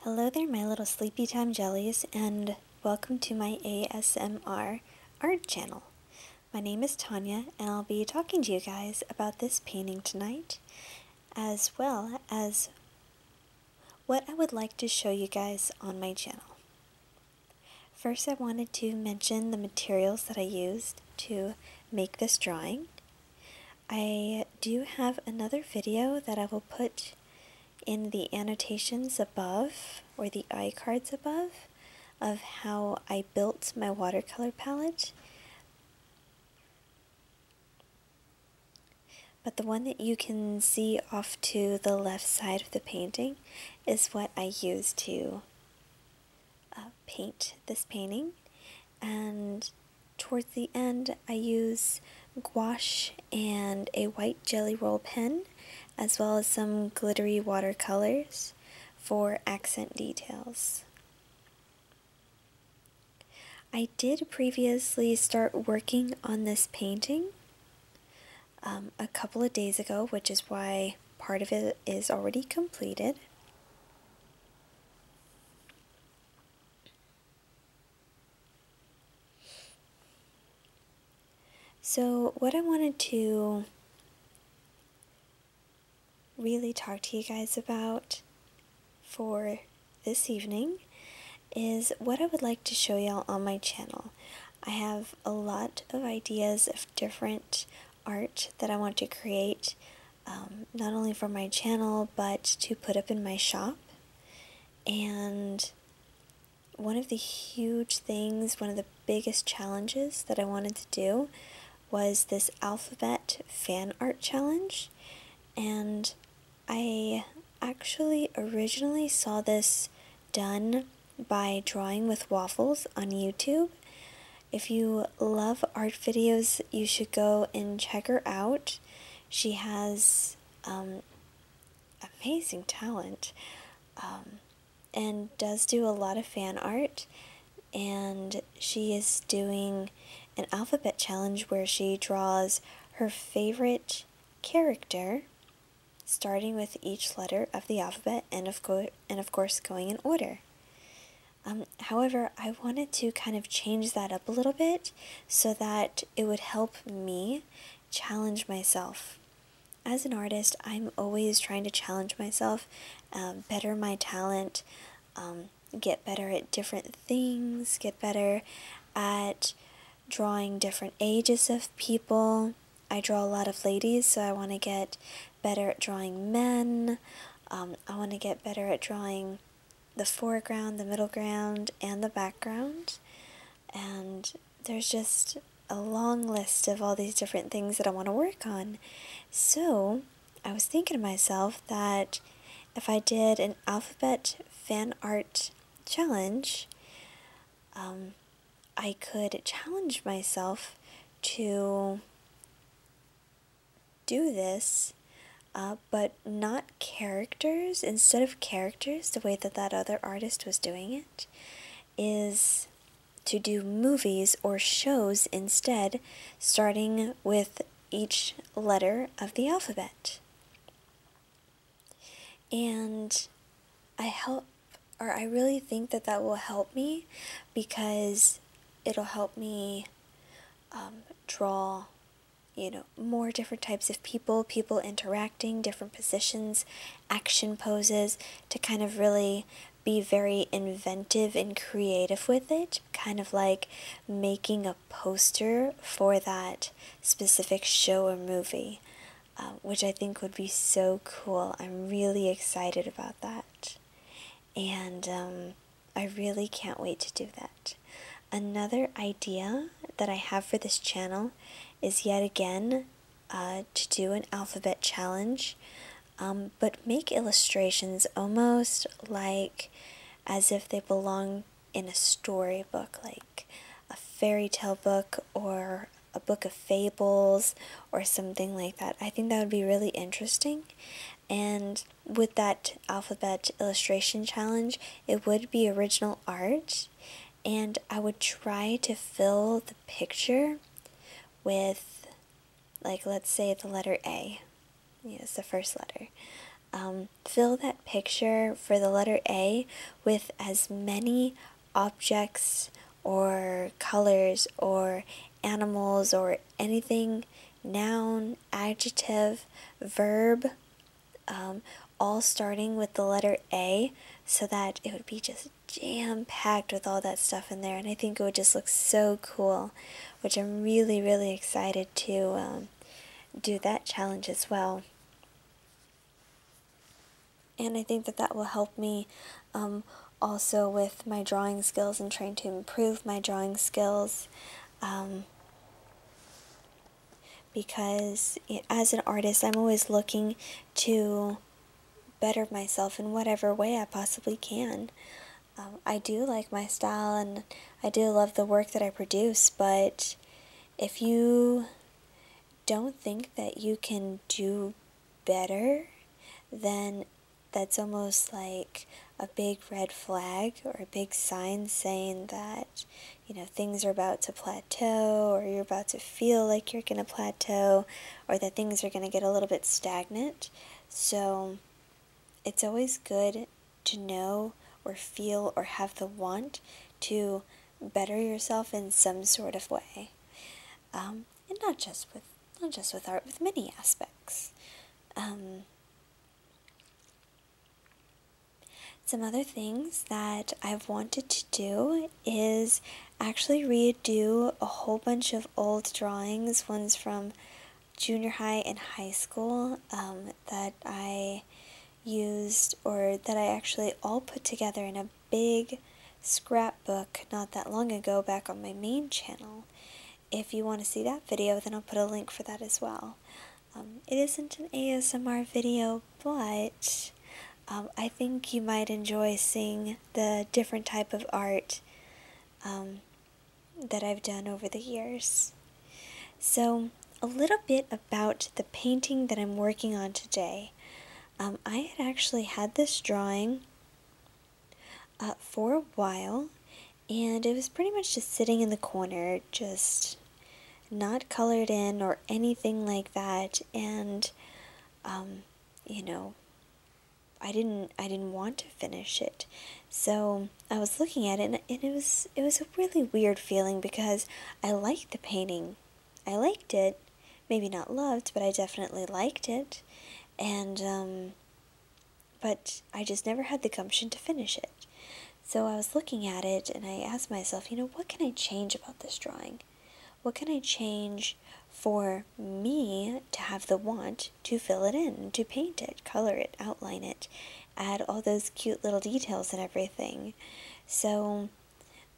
Hello there, my little sleepy time jellies, and welcome to my ASMR art channel. My name is Tanya, and I'll be talking to you guys about this painting tonight, as well as what I would like to show you guys on my channel. First, I wanted to mention the materials that I used to make this drawing. I do have another video that I will put in the annotations above, or the iCards above, of how I built my watercolor palette. But the one that you can see off to the left side of the painting is what I used to uh, paint this painting and towards the end I use gouache and a white jelly roll pen as well as some glittery watercolors for accent details. I did previously start working on this painting um, a couple of days ago, which is why part of it is already completed. So, what I wanted to really talk to you guys about for this evening is what I would like to show y'all on my channel. I have a lot of ideas of different art that I want to create um, not only for my channel but to put up in my shop. And one of the huge things, one of the biggest challenges that I wanted to do was this alphabet fan art challenge. And I actually originally saw this done by Drawing with Waffles on YouTube. If you love art videos, you should go and check her out. She has um, amazing talent um, and does do a lot of fan art. And she is doing an alphabet challenge where she draws her favorite character starting with each letter of the alphabet and of, go- and of course going in order. Um, however, I wanted to kind of change that up a little bit so that it would help me challenge myself. As an artist, I'm always trying to challenge myself, um, better my talent, um, get better at different things, get better at drawing different ages of people. I draw a lot of ladies, so I want to get better at drawing men. Um, I want to get better at drawing the foreground, the middle ground, and the background. And there's just a long list of all these different things that I want to work on. So I was thinking to myself that if I did an alphabet fan art challenge, um, I could challenge myself to do this, uh, but not characters, instead of characters, the way that that other artist was doing it, is to do movies or shows instead, starting with each letter of the alphabet. And I help, or I really think that that will help me because it'll help me um, draw you know, more different types of people, people interacting, different positions, action poses, to kind of really be very inventive and creative with it, kind of like making a poster for that specific show or movie, uh, which I think would be so cool. I'm really excited about that. And um, I really can't wait to do that. Another idea that I have for this channel is yet again uh, to do an alphabet challenge, um, but make illustrations almost like as if they belong in a storybook, like a fairy tale book or a book of fables or something like that. I think that would be really interesting. And with that alphabet illustration challenge, it would be original art, and I would try to fill the picture with, like, let's say the letter A. Yes, the first letter. Um, fill that picture for the letter A with as many objects or colors or animals or anything, noun, adjective, verb, um, all starting with the letter A so that it would be just jam packed with all that stuff in there. And I think it would just look so cool, which I'm really, really excited to um, do that challenge as well. And I think that that will help me um, also with my drawing skills and trying to improve my drawing skills because as an artist, I'm always looking to better myself in whatever way I possibly can. Um, I do like my style and I do love the work that I produce, but if you don't think that you can do better, then that's almost like a big red flag or a big sign saying that, you know, things are about to plateau or you're about to feel like you're going to plateau or that things are going to get a little bit stagnant. So it's always good to know or feel or have the want to better yourself in some sort of way. Um, and not just with not just with art, with many aspects. Um, some other things that I've wanted to do is actually redo a whole bunch of old drawings, ones from junior high and high school um, that I used or that I actually all put together in a big scrapbook not that long ago back on my main channel. If you want to see that video, then I'll put a link for that as well. Um, it isn't an ASMR video, but um, I think you might enjoy seeing the different type of art um, that I've done over the years. So, a little bit about the painting that I'm working on today. I had actually had this drawing uh, for a while, and it was pretty much just sitting in the corner, just not colored in or anything like that. And, um, you know, I didn't I didn't want to finish it. So I was looking at it and, it was it was a really weird feeling because I liked the painting. I liked it. Maybe not loved, but I definitely liked it. And um, but I just never had the gumption to finish it. So I was looking at it and I asked myself, you know, what can I change about this drawing? What can I change for me to have the want to fill it in, to paint it, color it, outline it, add all those cute little details and everything? So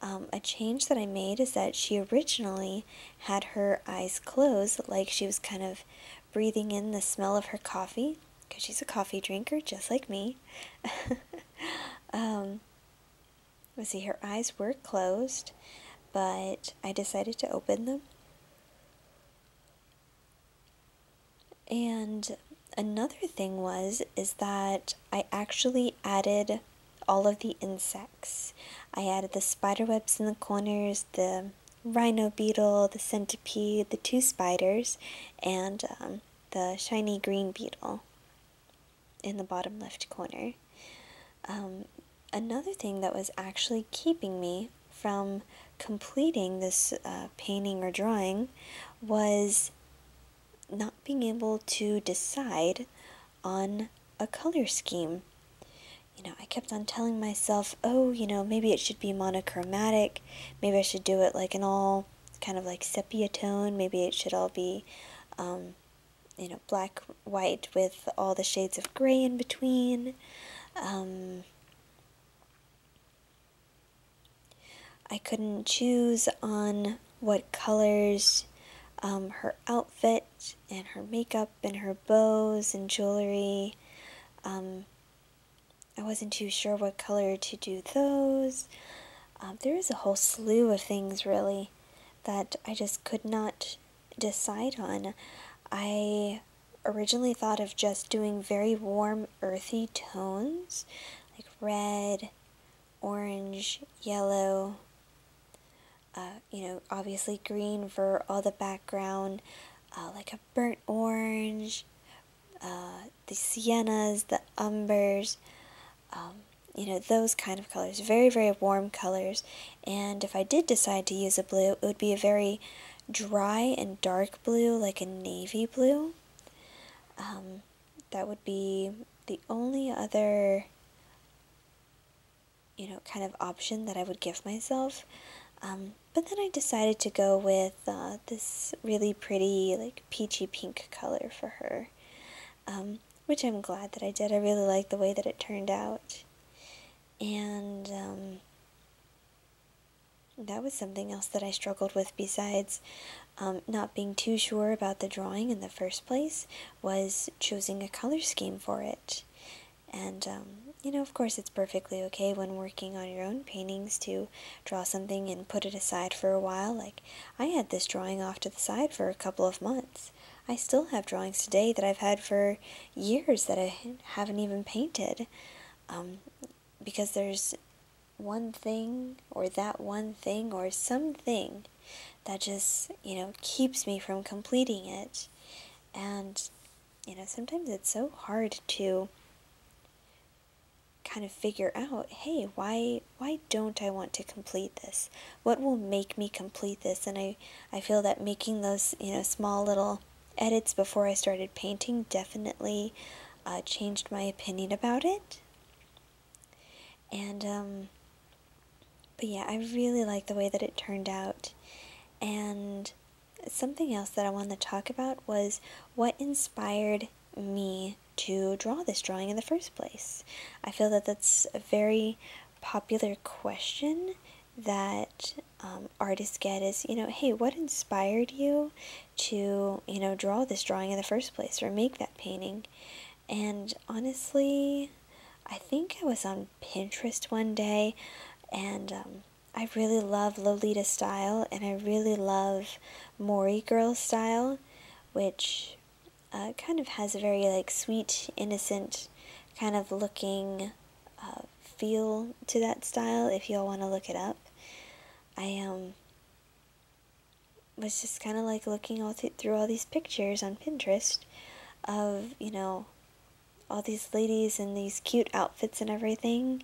um, a change that I made is that she originally had her eyes closed, like she was kind of breathing in the smell of her coffee because she's a coffee drinker just like me. Um, let's see, her eyes were closed, but I decided to open them. And another thing was is that I actually added all of the insects. I added the spider webs in the corners, the rhino beetle, the centipede, the two spiders, and um, the shiny green beetle in the bottom left corner. Um, another thing that was actually keeping me from completing this uh, painting or drawing was not being able to decide on a color scheme. You know, I kept on telling myself, oh, you know, maybe it should be monochromatic. Maybe I should do it like an all kind of like sepia tone. Maybe it should all be, um, you know, black, white with all the shades of gray in between. Um, I couldn't choose on what colors um, her outfit and her makeup and her bows and jewelry. I wasn't too sure what color to do those. Um, there was a whole slew of things, really, that I just could not decide on. I originally thought of just doing very warm, earthy tones, like red, orange, yellow, uh, you know, obviously green for all the background, uh, like a burnt orange, uh, the siennas, the umbers, um, you know, those kind of colors. Very, very warm colors. And if I did decide to use a blue, it would be a very dry and dark blue, like a navy blue. Um, that would be the only other, you know, kind of option that I would give myself. Um, but then I decided to go with uh, this really pretty, like peachy pink color for her, um, which I'm glad that I did. I really like the way that it turned out. And um, that was something else that I struggled with besides um, not being too sure about the drawing in the first place was choosing a color scheme for it. And, you know, of course, it's perfectly okay when working on your own paintings to draw something and put it aside for a while. Like, I had this drawing off to the side for a couple of months. I still have drawings today that I've had for years that I haven't even painted. Um, because there's one thing or that one thing or something that just, you know, keeps me from completing it. And, you know, sometimes it's so hard to kind of figure out, hey, why why don't I want to complete this? What will make me complete this? And I, I feel that making those, you know, small little edits before I started painting definitely uh, changed my opinion about it. And um but yeah, I really like the way that it turned out. And something else that I wanted to talk about was what inspired me to draw this drawing in the first place? I feel that that's a very popular question that um, artists get is, you know, hey, what inspired you to, you know, draw this drawing in the first place or make that painting? And honestly, I think I was on Pinterest one day and um, I really love Lolita style and I really love Mori girl style, which uh, kind of has a very like sweet, innocent kind of looking uh, feel to that style. If y'all want to look it up, I um was just kind of like looking all through all these pictures on Pinterest of you know all these ladies in these cute outfits and everything,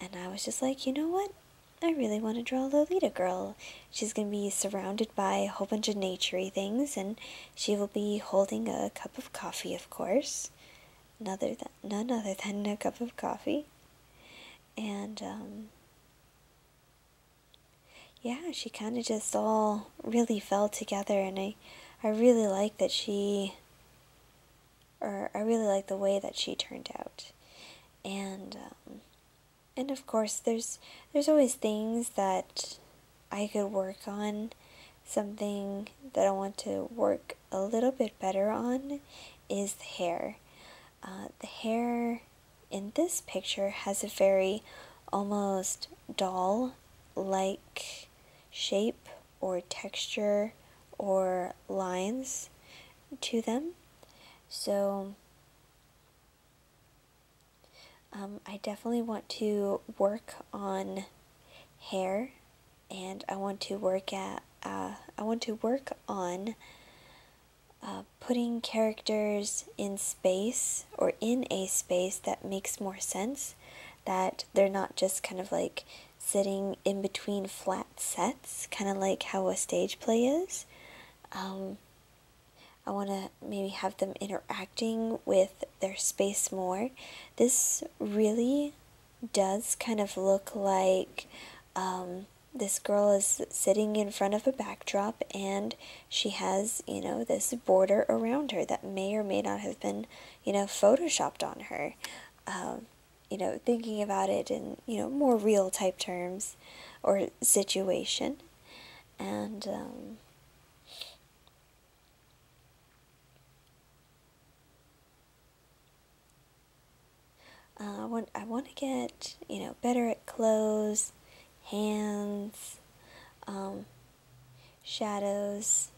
and I was just like, you know what? I really want to draw a Lolita girl. She's going to be surrounded by a whole bunch of naturey things, and she will be holding a cup of coffee, of course. None other than, none other than a cup of coffee. And, um, yeah, she kind of just all really fell together, and I, I really like that she, or I really like the way that she turned out and um, and of course there's there's always things that I could work on something that I want to work a little bit better on is the hair uh, the hair in this picture has a very almost doll like shape or texture or lines to them so um, I definitely want to work on hair and I want to work at uh, I want to work on uh, putting characters in space or in a space that makes more sense that they're not just kind of like sitting in between flat sets kind of like how a stage play is um, I want to maybe have them interacting with their space more. This really does kind of look like um, this girl is sitting in front of a backdrop and she has, you know, this border around her that may or may not have been, you know, photoshopped on her. Um, you know, thinking about it in, you know, more real type terms or situation. And, um, uh, I want I want to get you know better at clothes, hands, um, shadows.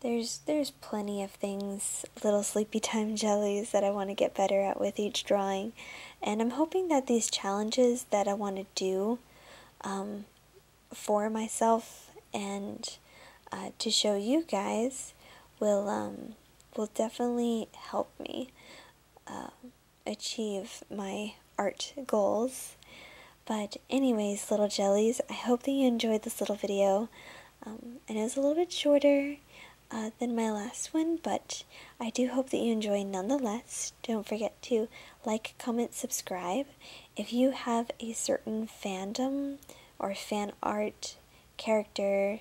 There's there's plenty of things little sleepy time jellies that I want to get better at with each drawing. And I'm hoping that these challenges that I want to do um, for myself and uh, to show you guys will um, will definitely help me um, achieve my art goals. But anyways, little jellies, I hope that you enjoyed this little video. and it was a little bit shorter. Uh, than my last one, but I do hope that you enjoy nonetheless. Don't forget to like, comment, subscribe. If you have a certain fandom or fan art, character,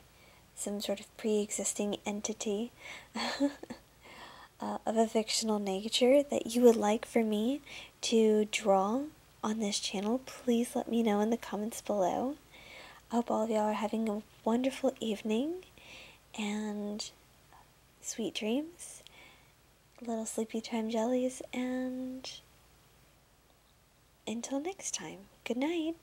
some sort of pre existing entity uh, of a fictional nature that you would like for me to draw on this channel, please let me know in the comments below. I hope all of y'all are having a wonderful evening and sweet dreams, little sleepy time jellies, and until next time, good night.